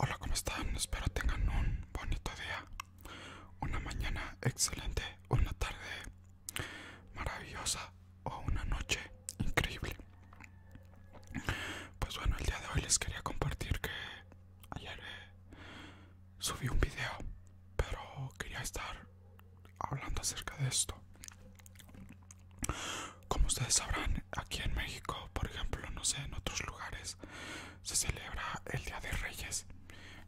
Hola, ¿cómo están? Espero tengan un bonito día, una mañana excelente, una tarde maravillosa o una noche increíble. Pues bueno, el día de hoy les quería compartir que ayer eh, subí un video, pero quería estar hablando acerca de esto. Como ustedes sabrán, aquí en México, por ejemplo, no sé, en otros lugares, se celebra el Día de Reyes,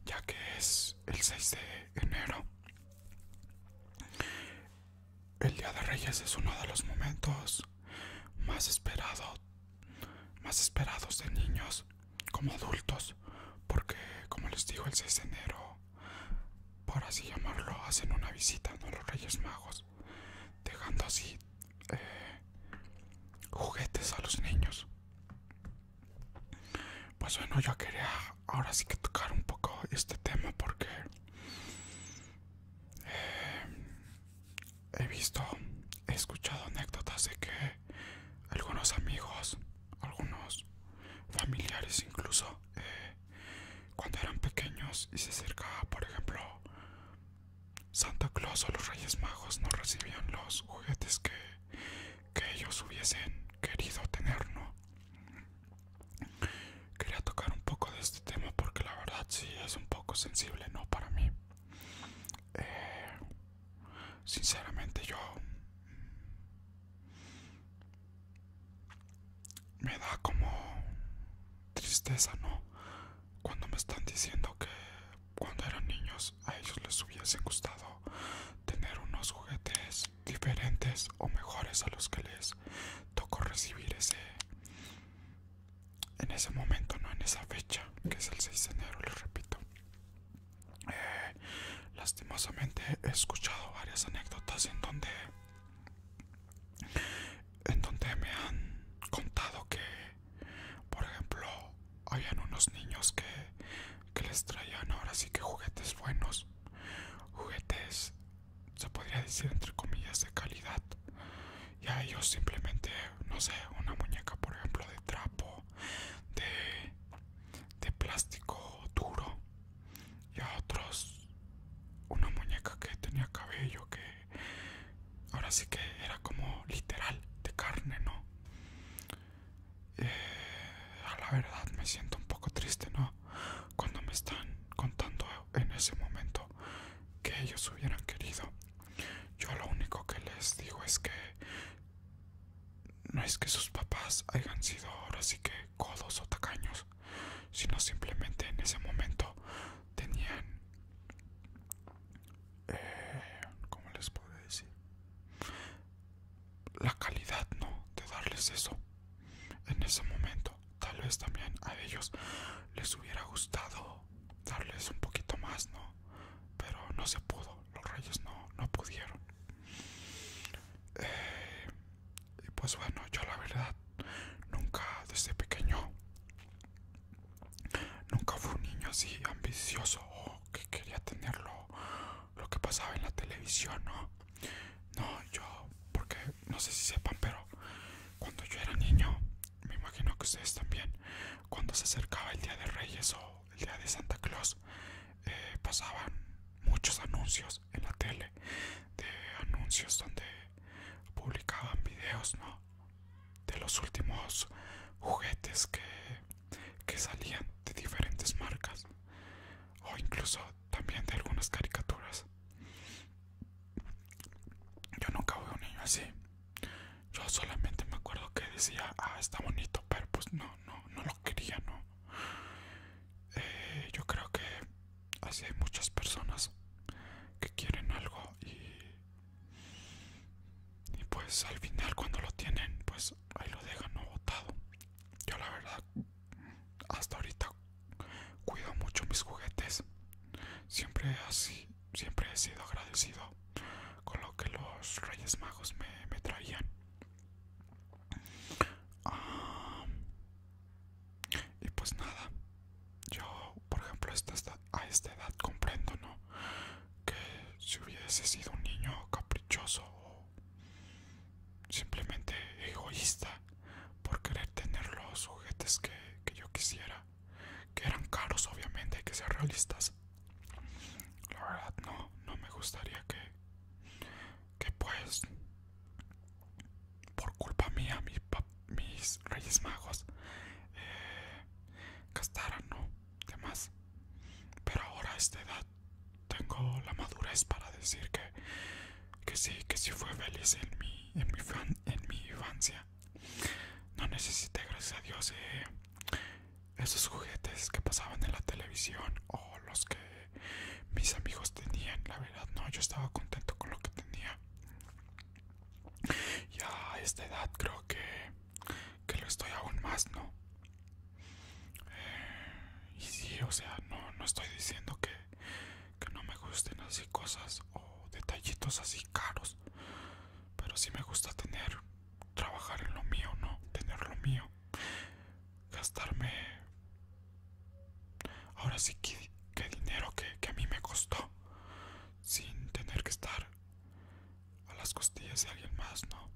ya que es el 6 de enero. El Día de Reyes es uno de los momentos más esperados, más esperados de niños como adultos, porque como les digo el 6 de enero, por así llamarlo, hacen una visita a los Reyes Magos, dejando así eh, juguetes a los niños. Pues bueno, yo quería ahora sí que tocar un poco este tema porque eh, he visto, he escuchado anécdotas de que algunos amigos, algunos familiares incluso, eh, cuando eran pequeños y se acercaba, por ejemplo, Santa Claus o los Reyes Magos no recibían los juguetes que, ellos hubiesen querido tener, ¿no? Quería tocar un poco de este tema porque la verdad sí es un poco sensible, ¿no? Para mí. Eh, sinceramente yo me da como tristeza, ¿no? Cuando me están diciendo que cuando eran niños a ellos les hubiesen gustado tener unos juguetes diferentes o mejores a los que les tocó recibir ese en ese momento, no en esa fecha, que es el 6 de enero, les repito lastimosamente he escuchado varias anécdotas en donde en donde me han contado que por ejemplo habían unos niños que, que les traían ahora sí que juguetes buenos juguetes se podría decir entre comillas de calidad y a ellos simplemente no sé una muñeca por ejemplo de trapo de de plástico duro y a otros una muñeca que tenía cabello que ahora sí que era como literal de carne no eh, a la verdad me siento un poco triste no cuando me están contando en ese momento que ellos hubieran querido yo lo único que les digo es que no es que sus papás hayan sido ahora sí que codos o tacaños, sino simplemente en ese momento tenían... Eh, ¿Cómo les puedo decir? La calidad, ¿no? De darles eso. En ese momento, tal vez también a ellos les hubiera gustado darles un poquito más, ¿no? Pero no se pudo, los reyes no, no pudieron y pues bueno, yo la verdad nunca desde pequeño nunca fui un niño así ambicioso o que quería tener lo que pasaba en la televisión, ¿no? No, yo, porque no sé si sepan, pero cuando yo era niño, me imagino que ustedes también, cuando se acercaba el Día de Reyes o el día de Santa Claus, eh, pasaban muchos anuncios en la tele, de anuncios donde publicaban videos, ¿no? De los últimos juguetes que, salían de diferentes marcas, o incluso también de algunas caricaturas. Yo nunca vi un niño así. Yo solamente me acuerdo que decía, ah, está bonito, pero pues no, no, no lo quería, no yo creo que así hay muchas personas que quieren algo y, pues al final cuando lo tienen pues ahí lo dejan no botado yo la verdad hasta ahorita cuido mucho mis juguetes siempre así siempre he sido agradecido con lo que los reyes magos me traían Ah, y pues nada, yo por ejemplo a esta edad comprendo, ¿no? Que si hubiese sido un niño caprichoso o simplemente egoísta por querer tener los juguetes que, yo quisiera, que eran caros obviamente, y que ser realistas. La verdad no me gustaría que que pues por culpa mía mis, mis reyes magos eh, no demás pero ahora a esta edad tengo la madurez para decir que que sí que sí fue feliz en mi en mi fan, en mi infancia no necesité gracias a dios eh, esos juguetes que pasaban en la televisión o los que mis amigos tenían. La verdad, no, yo estaba contento con lo que tenía. ya a esta edad creo que, que lo estoy aún más, ¿no? Eh, y sí, o sea, no, no estoy diciendo que, que no me gusten así cosas o detallitos así caros. Pero sí me gusta tener, trabajar en lo mío, ¿no? Tener lo mío gastarme ahora sí que, dinero que, a mí me costó sin tener que estar a las costillas de alguien más, ¿no?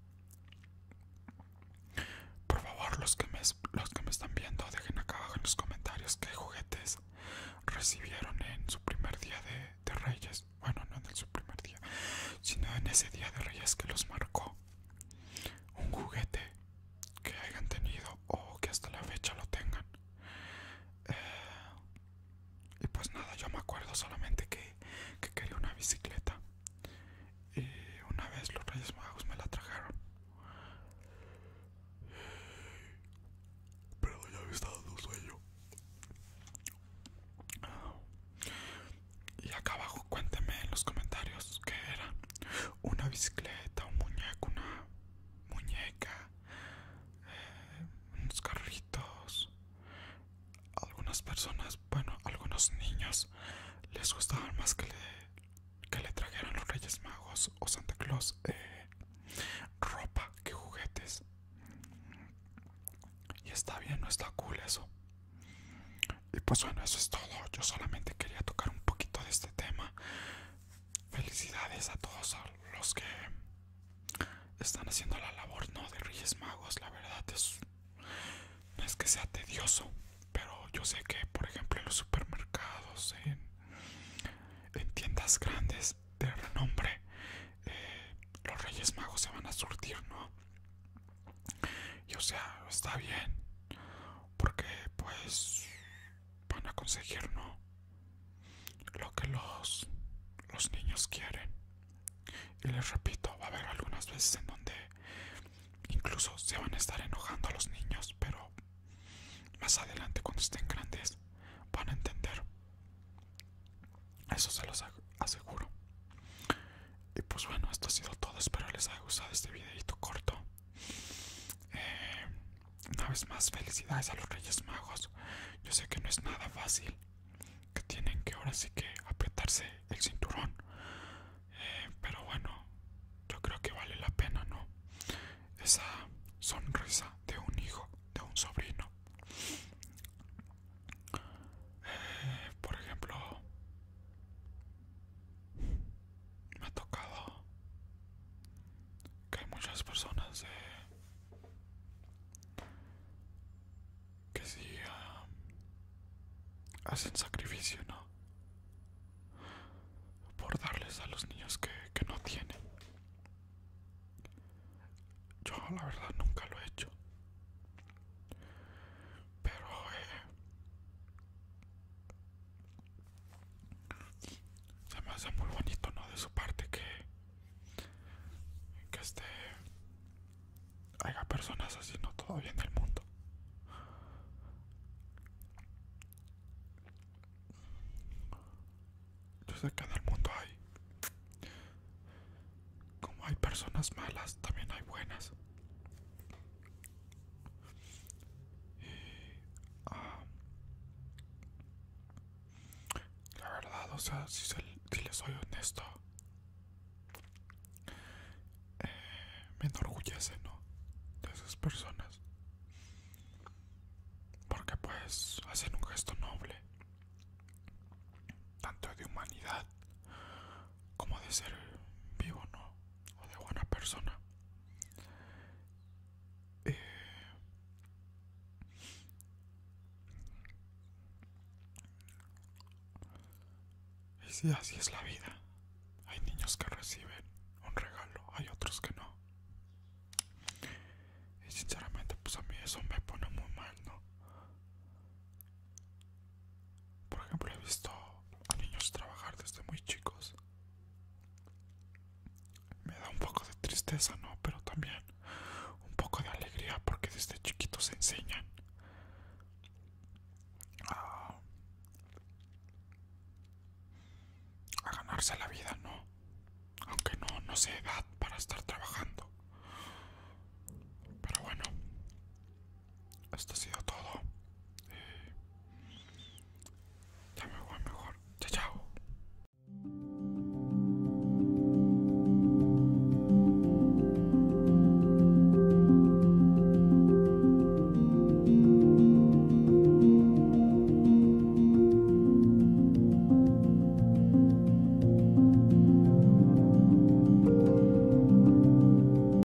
Por favor, los que me, los que me están viendo, dejen acá abajo en los comentarios qué juguetes recibieron en su primer día de, Reyes. Bueno, no en su primer día, sino en ese día de Reyes que los marcó un juguete que hayan tenido o que hasta la fecha lo tengan. Eh, y pues nada, yo me acuerdo solamente que, quería una bicicleta. Y una vez los Reyes Magos me la trajeron. Pero ya había estado en sueño. Y acá abajo cuénteme en los comentarios que era. Una bicicleta, un muñeco, una muñeca, eh, unos carritos. Algunas personas, bueno, algunos niños les gustaban más que le, que le trajeran los Reyes Magos o Santa Claus eh, ropa que juguetes. Y está bien, no está cool eso. Y pues bueno, eso es todo. Yo solamente quería tocar un poquito de este tema. Felicidades a todos los que están haciendo la labor no de Reyes Magos. La verdad es no es que sea tedioso, pero yo sé que, por ejemplo, en los supermercados, en, tiendas grandes de renombre, eh, los Reyes Magos se van a surtir, ¿no? Y o sea, está bien. Porque pues van a conseguir, ¿no? Lo que los, los niños quieren. Y les repito, va a haber algunas veces en donde incluso se van a estar enojando a los niños, pero más adelante cuando estén grandes van a entender. Eso se los aseguro. Y pues bueno, esto ha sido todo. Espero les haya gustado este videito corto. Eh, una vez más, felicidades a los Reyes Magos. Yo sé que no es nada fácil. Que tienen que ahora sí que apretarse el cinturón. Eh, pero bueno, yo creo que vale la pena, ¿no? Esa sonrisa de un hijo, de un sobrino. Eh, por ejemplo, me ha tocado que hay muchas personas que sí ah, hacen sacrificio, ¿no? Por darles a los niños que, que no tienen. Yo la verdad nunca lo he hecho. Pero eh, se me hace muy bonito, ¿no? De su parte que. Que este. Haya personas así, ¿no? Todavía en el mundo. Yo sé que en el mundo hay. Como hay personas malas, también hay buenas. Y, la verdad, o sea, si, les soy honesto, eh, me enorgullece, ¿no? De esas personas. Porque pues hacen un gesto noble, tanto de humanidad como de ser vivo, ¿no? O de buena persona. Eh, y si así es la vida. Hay niños que reciben un regalo, hay otros que no. Y sinceramente, pues a mí eso me pone muy mal, ¿no? Por ejemplo, he visto a niños trabajar desde muy chicos. Me da un poco de tristeza, ¿no? Pero también un poco de alegría porque desde chiquitos se enseñan a, a ganarse la vida, ¿no? Aunque no, no sé edad para estar trabajando. Pero bueno, esto ha sido todo. ya me voy mejor. Chao, chao.